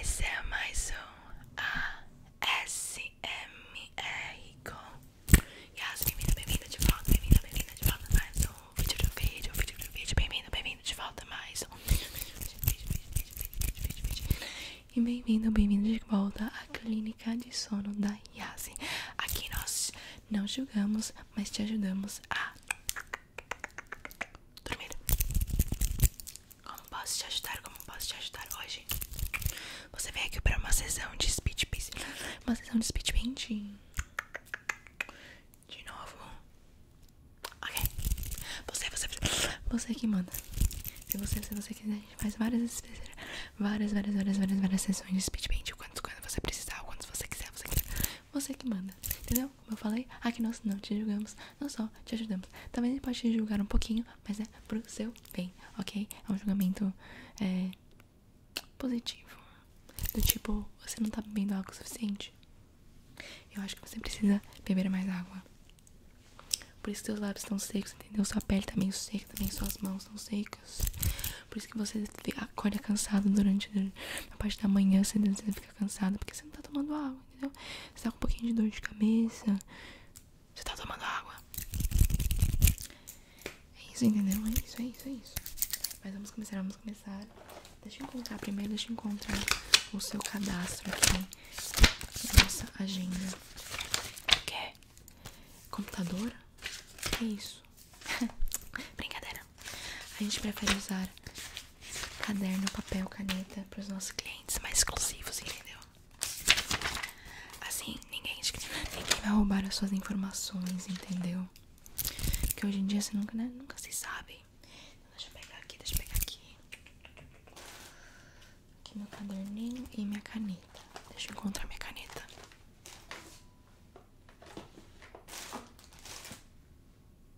Esse é mais um ASMR com Yas, bem vindo bem vindo de volta, bem vindo bem vindo de volta mais um vídeo do vídeo, vídeo vídeo, bem-vindo, bem-vindo de volta mais um vídeo, vídeo, vídeo, vídeo, vídeo, vídeo. E bem-vindo, bem-vindo de volta à clínica de sono da Yas. Aqui nós não julgamos, mas te ajudamos a dormir. Como posso te ajudar? Como posso te ajudar hoje? Você veio aqui para uma sessão de speed painting. Uma sessão de speed painting. De novo. Ok. Você, você, você que manda. Se você, se você quiser, a faz várias, várias, várias, várias, várias, sessões de speed painting. Quando, quando você precisar, quando você quiser. Você que manda, entendeu? Então, como eu falei, aqui nós não te julgamos, não só te ajudamos. Também ele pode te julgar um pouquinho, mas é pro seu bem, ok? É um julgamento é, positivo. Do tipo, você não tá bebendo água o suficiente. Eu acho que você precisa beber mais água. Por isso que seus lábios estão secos, entendeu? Sua pele também tá seca, também suas mãos estão secas. Por isso que você acorda cansado durante a parte da manhã, você fica cansado porque você não tá tomando água entendeu? Você tá com um pouquinho de dor de cabeça, você tá tomando água. É isso, entendeu? É isso, é isso, é isso. Mas vamos começar, vamos começar. Deixa eu encontrar primeiro, deixa eu encontrar o seu cadastro aqui. Nossa agenda. Que é? Computadora? é isso? Brincadeira. A gente prefere usar caderno, papel, caneta para os nossos clientes mais exclusivos, entendeu? Assim, ninguém, vai roubar as suas informações, entendeu? Porque hoje em dia você nunca, né? nunca se sabe. deixa eu pegar aqui, deixa eu pegar aqui. Aqui meu caderninho e minha caneta. Deixa eu encontrar minha caneta.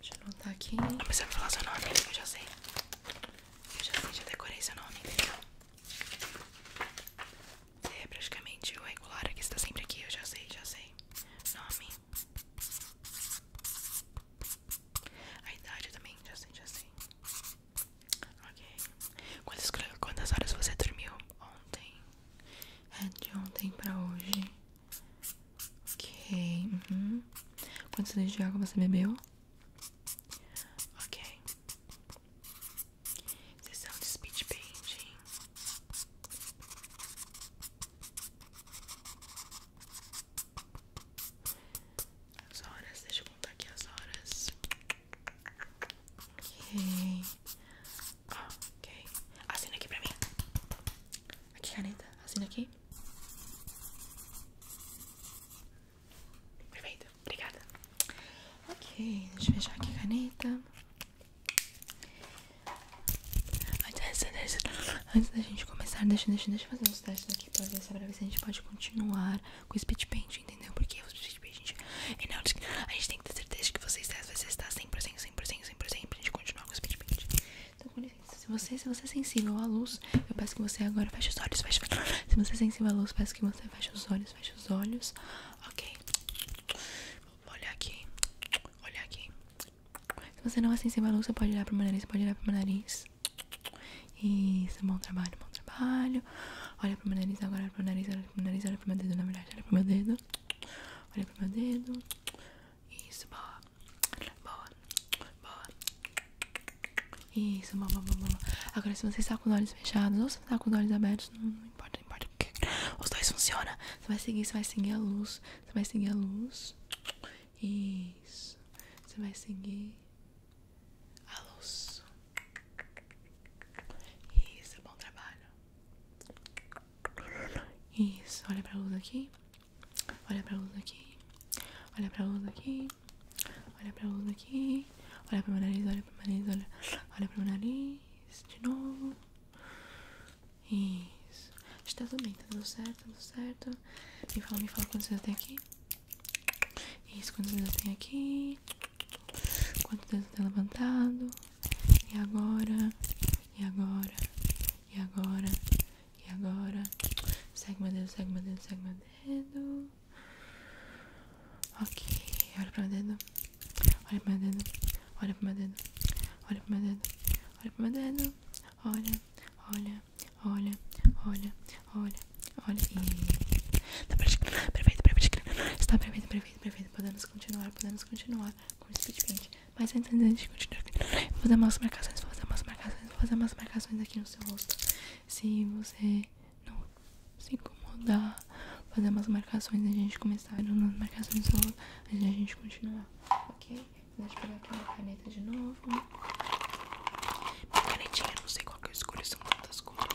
Deixa eu anotar aqui. Não precisa falar seu nome, eu já sei. Eu já sei, já decorei seu nome, é praticamente o regular que está sempre aqui, eu já sei, já sei. Nome. A idade também, já sei, já sei. Ok. Quantas, quantas horas você dormiu ontem? É de ontem pra hoje. Ok. Uhum. Quantos litros de água você bebeu? Ok. Sessão de speech painting. As horas, deixa eu contar aqui as horas. Ok. Ok. Assina aqui pra mim. Aqui, caneta. Assina aqui. Perfeito, obrigada. Ok, deixa eu fechar aqui a caneta. Antes da gente começar, deixa, deixa, deixa eu fazer uns testes aqui pra ver, se a gente pode continuar com o speed paint, entendeu? Porque o speed paint, e é não, a gente tem que ter certeza de que vocês testam, vai testar 100%, 100%, 100%, 100% pra gente continuar com o speed paint. Então, com se você, se você é sensível à luz, eu peço que você agora feche os olhos. Feche, se você é sensível à luz, peço que você feche os olhos. Feche os olhos. Ok. Vou olhar aqui. Olhar aqui. Se você não é sensível à luz, você pode olhar pro meu nariz. pode olhar pro meu nariz. Isso, bom trabalho, bom trabalho. Olha pro meu nariz agora, olha pro nariz, olha pro meu nariz, olha pro meu dedo, na verdade, olha pro meu dedo. Olha pro meu dedo. Isso, boa. Boa. Boa. Isso, boa, boa, boa. Agora, se você está com os olhos fechados ou se está com os olhos abertos, não, não importa, não importa. É. Os dois funcionam. Você vai seguir, você vai seguir a luz. Você vai seguir a luz. Isso. Você vai seguir a luz. Isso, bom trabalho. Isso, olha pra luz aqui. Olha pra luz aqui. Olha pra luz aqui. Olha pra luz aqui. Olha pro meu nariz, olha pro meu nariz, olha. Olha pro meu nariz. De novo. Isso. Está tudo bem, tá tudo certo, tudo certo. Me fala, me fala quantos dedos tem aqui. Isso, quantos dedos tem aqui. Quantos dedos tem levantado. E agora. E agora. E agora. E agora, segue meu dedo, segue meu dedo, segue meu dedo. Ok, olha pro meu dedo. Olha pro meu dedo. Olha pro meu dedo. Olha pro meu dedo. Olha pro meu dedo. Olha, olha, olha, olha, olha, olha. E. Tá perfeito, perfeito, perfeito. Está perfeito, perfeito, perfeito. Podemos continuar, podemos continuar com o speed mas antes, antes de continuar, vou fazer umas marcações, vou fazer umas marcações, vou fazer umas marcações aqui no seu rosto. Se você não se incomodar, vou fazer umas marcações a gente começar. Umas marcações no seu rosto, antes a gente continuar, ok? Deixa pegar aqui minha caneta de novo. Minha canetinha, não sei qual que eu escolho, são tantas coisas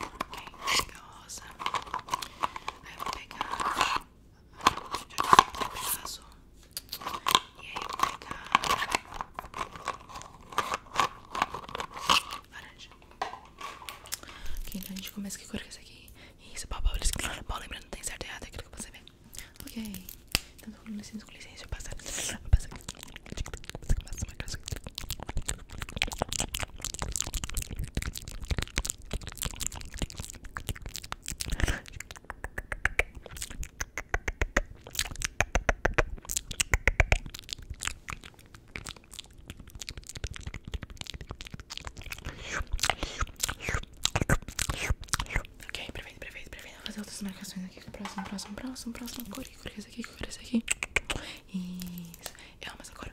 Ok, vou pegar rosa. Aí vou pegar um pedaço e aí vou pegar laranja. Ok, então a gente começa que cor que é essa aqui? Isso, pau, pau, pau, não tem certo e errado, é aquilo que você vê. Ok, então com licença, com licença, eu passar. Vou passar aqui. Vou passar aqui. Ok, perfeito, perfeito, perfeito. Vou fazer outras marcações aqui. Próximo, próximo, próximo, próximo. Cor, cor, esse aqui, cor, esse aqui. Isso. É, mas agora.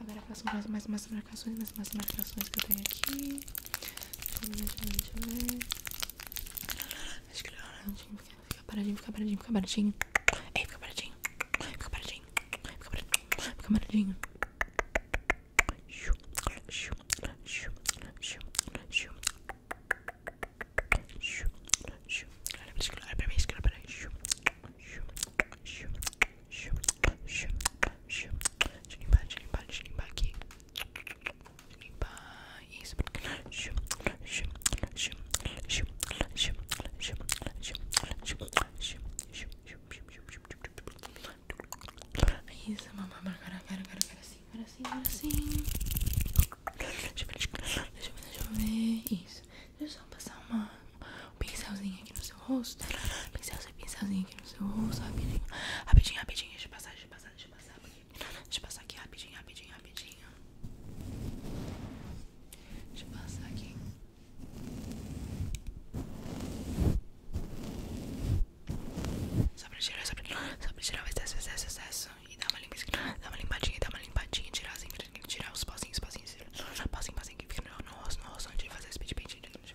Agora faço mais, mais marcações, mais umas marcações que eu tenho aqui. Né? Acho que fica paradinho, fica paradinho, fica paradinho. Ei, fica paradinho. Fica paradinho. Fica paradinho. Fica paradinho. Olha pra mim, olha pra mim. Deixa eu limpar, deixa eu limpar, deixa eu limpar aqui. Deixa eu limpar. Isso. Isso, mamãe. Agora, agora, agora, agora sim. Agora sim, agora sim. Deixa eu ver, deixa eu ver. Isso. Deixa eu só passar uma um pincelzinho aqui no seu rosto. Pincelzinho, pincelzinho aqui no seu rosto. Rapidinho, rapidinho, rapidinho. Deixa eu passar, deixa passar, deixa passar. Deixa passar rapidinho, rapidinho, rapidinho. Deixa eu passar aqui. Só pra tirar, só pra, tirar, pra tirar o excesso, excesso, excesso. E dar uma, limpa, dá uma limpadinha, dá uma limpadinha. Tirar, assim, tirar os pozinhos, pozinhos, pozinho, pozinho que fica no rosto, no rosto. Antes de fazer esse speed paint, antes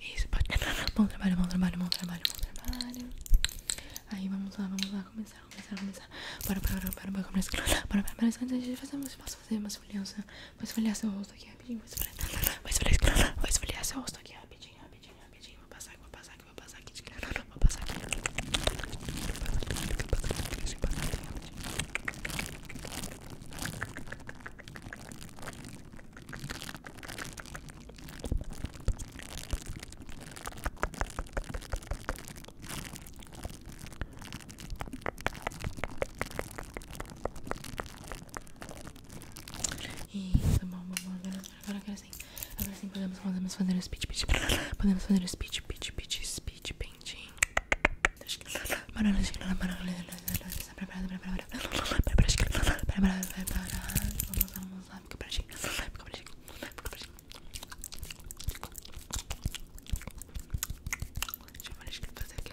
Isso, pode. Né? Bom trabalho, bom trabalho, bom trabalho, bom trabalho. Aí vamos lá, vamos lá, começar, começar, começar. Bora, bora, bora, bora, bora, começar. Bora, bora, bora, antes de fazer, posso fazer uma esfoliança. Vou esfoliar seu rosto aqui aqui rapidinho, vou esfregar, vou esfregar, vou esfregar seu rosto aqui rapidinho, rapidinho, rapidinho. Vou passar aqui, vou passar aqui, vou passar aqui de cara, vou passar aqui. Isso, bom, bom, Agora, agora, agora sim. Agora sim podemos, podemos fazer o speed, pitch. Podemos fazer o speed, pitch, pitch, speed painting. Vamos, vamos lá, fica pertinho. Fica pertinho. Fica pertinho. Deixa eu fazer aqui.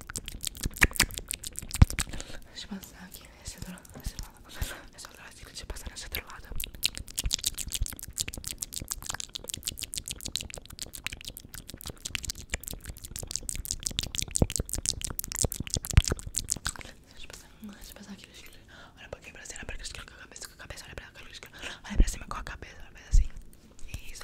Deixa eu passar aqui nesse outro lado. Nesse outro lado. Nesse outro lado. Deixa eu passar nesse outro lado. Deixa eu passar. Deixa eu passar aqui. Olha um pouquinho pra cima. Olha pra cima com a cabeça. Olha pra cima com a cabeça. Olha pra cima assim. Isso.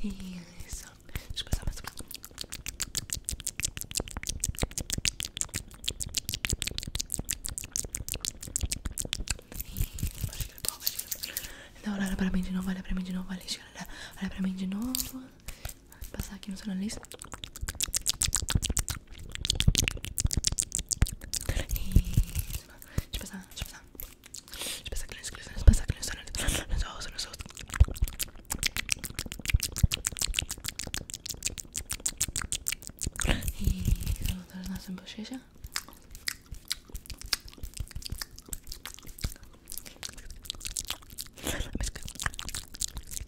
Isso. Deixa eu passar mais um é é não, olha pra mim de novo, olha pra mim de novo, olha, olha pra mim de novo passa aqui no seu e Isso. Deixa eu passar, deixa eu passar. Deixa eu passar aqui no seu nariz, passar aqui no seu nariz. No seu rosto, no seu rosto. Isso.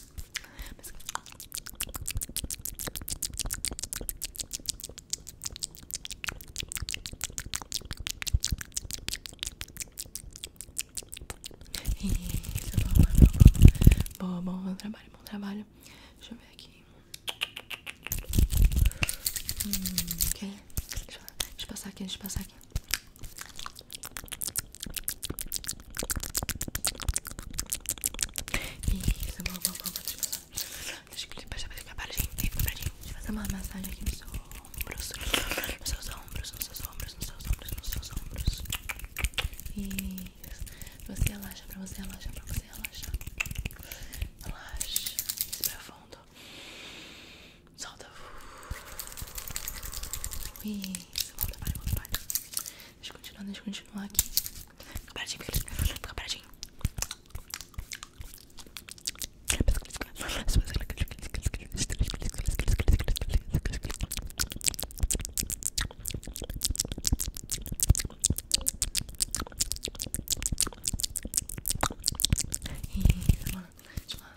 Mas... bom, bom, bom, bom, trabalho, bom trabalho. Deixa eu ver aqui. Hum, okay. deixa, deixa eu passar aqui, deixa eu passar aqui. Isso, vamos, vamos, vamos. Deixa eu baixar pra ficar paradinho. Fica paradinho. Deixa eu fazer uma massagem aqui nos ombros. Nos seus ombros, nos seus ombros, nos seus ombros, nos seus ombros. Isso. Pra você relaxar, pra você relaxar, pra você relaxar. Relaxa. Respira fundo. Solta, Solta. Isso, volta, volta, Deixa eu continuar, deixa eu continuar aqui. Fica paradinho, fica paradinho. Isso, mano. Deixa eu falar.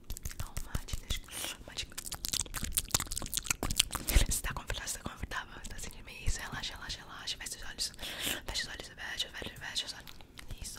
Não, Martins, Martins. Você tá confortável, você tá confortável, tá sentindo relaxa, relaxa, relaxa, fecha os olhos, fecha os olhos, fecha, fecha, fecha os olhos, isso. Isso.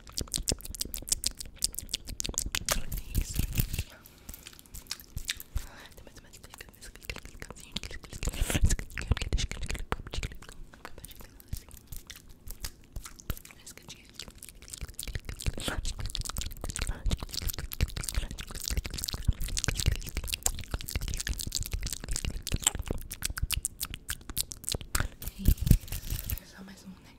Só mais um, né?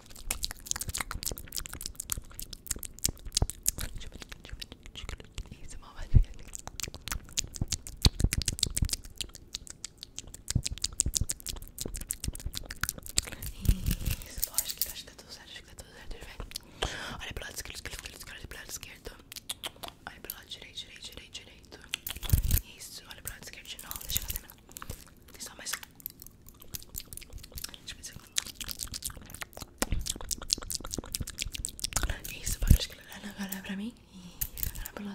Isso, mamãe. Isso, lógico, acho que tá acho que tá tudo certo, Olha pro lado esquerdo, olha pro lado esquerdo. Olha pro lado direito, direito, direito, Isso, olha pro lado esquerdo de deixa eu fazer melhor isso só mais Deixa eu ver se eu... Isso, pode esclarar pra mim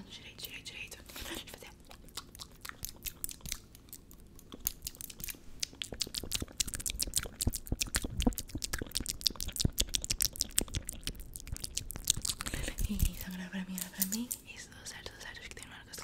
direito, direito, direito Deixa eu fazer isso, agora pra mim, pra mim Isso, tudo certo, tudo certo Acho que tem uma hora que eu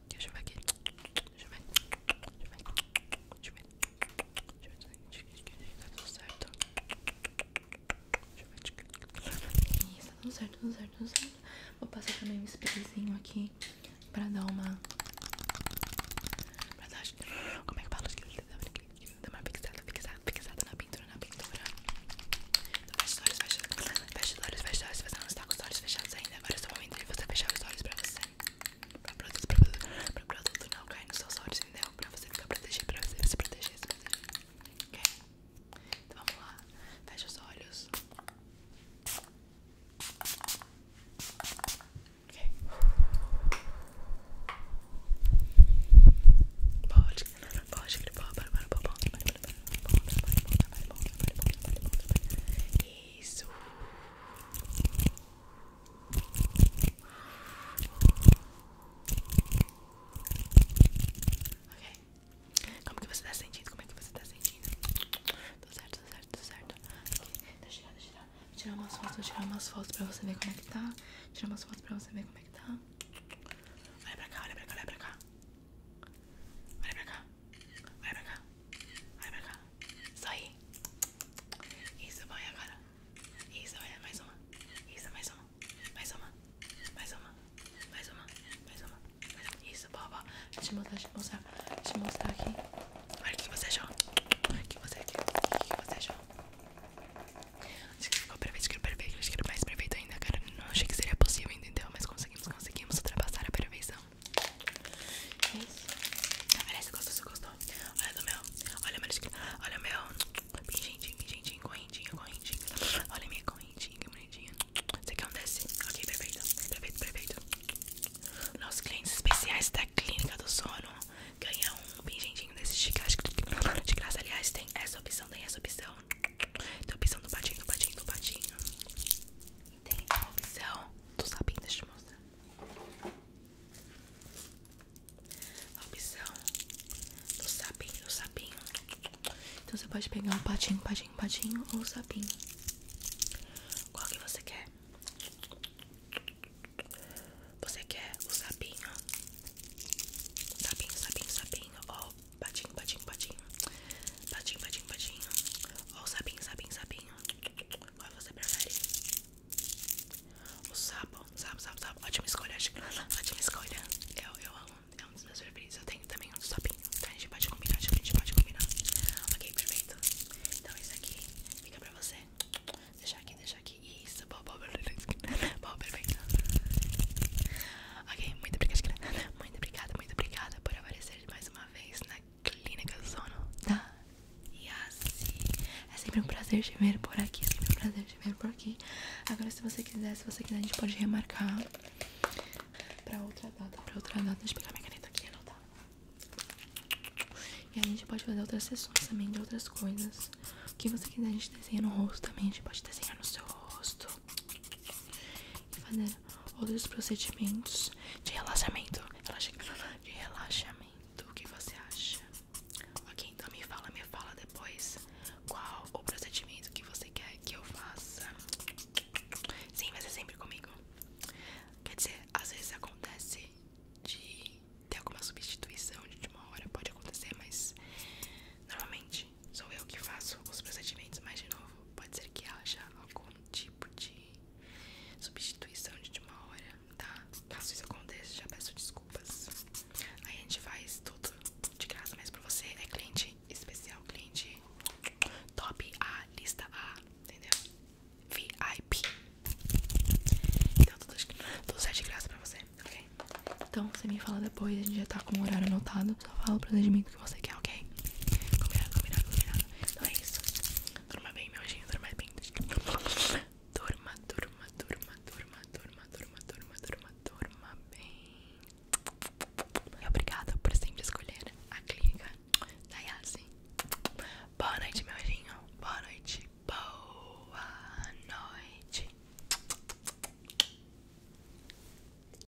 Deixa eu ver aqui. Deixa eu ver. Deixa eu ver. Deixa eu ver. Deixa eu ver. Tá tudo certo. Deixa eu ver. Isso, tá tudo certo, tudo certo, tudo certo. Vou passar também um sprayzinho aqui pra dar uma. Pra dar. Como é que fala? Dá uma fixada, fixada, fixada na pintura, na pintura. Fecha os olhos, fecha os olhos, fecha os olhos, Você não está com os olhos fechados ainda. Agora é o momento de você fechar os olhos para você. para produto, pra produto, pra produto não cair nos seus olhos, entendeu? para você ficar protegido, para você se proteger, se proteger. Ok? Então vamos lá. Fecha os olhos. Ok. Pode, pode, pode, pode, pode, pode, pode, pode, pode, pode isso. Ok. Como que você está sentindo? Como é que você tá sentindo? Tudo certo, tudo certo, tudo certo. Okay. Deixa tirar, deixa umas fotos, vou tirar umas fotos pra você ver como é que tá. Vou tirar umas fotos pra você ver como é que tá. Olha pra cá, olha pra cá, olha pra cá. Olha pra cá. Olha pra cá. Olha pra cá. Só aí. Isso, vai agora. Isso, vai mais uma. Isso, mais uma. Mais uma. Mais uma. Mais uma. Mais uma. Isso, boa, boa. Deixa eu te mostrar, deixa eu te mostrar. Deixa mostrar aqui. Olha o que você achou. Olha o que você achou. que você achou. Acho que ficou perfeito, acho que era perfeito. mais perfeito ainda, cara. Não achei que seria possível, entendeu? Mas consegui conseguimos, conseguimos ultrapassar a perfeição. É isso. Olha, você gostou, você gostou? Olha do meu, olha o meu, olha o meu pingentinho, pingentinho, correntinho, correntinho. Olha a minha correntinha, que bonitinha. Você quer um desse? Ok, perfeito, perfeito, perfeito. Nossos clientes especiais da Clínica do Sono ganham um pingentinho desse de graça. De classe aliás, tem essa opção, tem essa opção. Tem a opção do patinho, do patinho, do patinho. E tem a opção do sapinho, deixa eu te mostrar. A opção do sapinho, do sapinho. Então você pode pegar um patinho, patinho, patinho ou o sapinho. Qual que você quer? Você quer o sapinho? Sapinho, sapinho, sapinho ou Patinho, patinho, patinho. Patinho, patinho, patinho. o sapinho, sapinho, sapinho. Qual você prefere? O sapo, sapo, sapo, sapo. Ótima escolha, ótima escolha. Eu, eu amo, é um dos meus preferidos. Eu tenho também um sapinho. Então a gente pode combinar, a gente pode combinar. Ok, perfeito. Então isso aqui fica pra você. Deixar aqui, deixar aqui. Isso, bom, bom, bom perfeito. Ok, muito obrigada, muito obrigada, muito obrigada por aparecer mais uma vez na Clínica do Sono da tá. Yassi. É sempre um prazer te ver por aqui, é sempre um prazer te ver por aqui. Agora, se você quiser, se você quiser, a gente pode remarcar pra outra data, pra outra data. Deixa eu pegar minha caneta aqui e anotar. E a gente pode fazer outras sessões também de outras coisas. O que você quiser, a gente desenha no rosto também. A gente pode desenhar no seu rosto e fazer outros procedimentos de relaxamento. Relaxa, de relaxamento, o que você acha? Ok, então me fala, me fala depois qual o procedimento que você quer que eu faça. Sim, vai ser sempre comigo. Quer dizer, às vezes acontece de ter alguma substituição de última hora, pode acontecer, mas normalmente Sou eu que faço os procedimentos, mas de novo, pode ser que haja algum tipo de substituição de uma hora, tá? Caso isso aconteça, já peço desculpas. Aí a gente faz tudo de graça, mas pra você é cliente especial, cliente top A, lista A, entendeu? VIP. Então tudo, tudo sai de graça pra você, ok? Então você me fala depois, a gente já tá com o horário anotado. Só fala o procedimento que você quer, ok? Combinado, combinado, combinado. Então é isso. Durma bem, meu anjinho, durma bem. Durma, durma, durma, durma, durma, durma, durma, durma, durma bem. E obrigada por sempre escolher a clínica da Yassi. Boa noite, meu anjinho. Boa noite. Boa noite.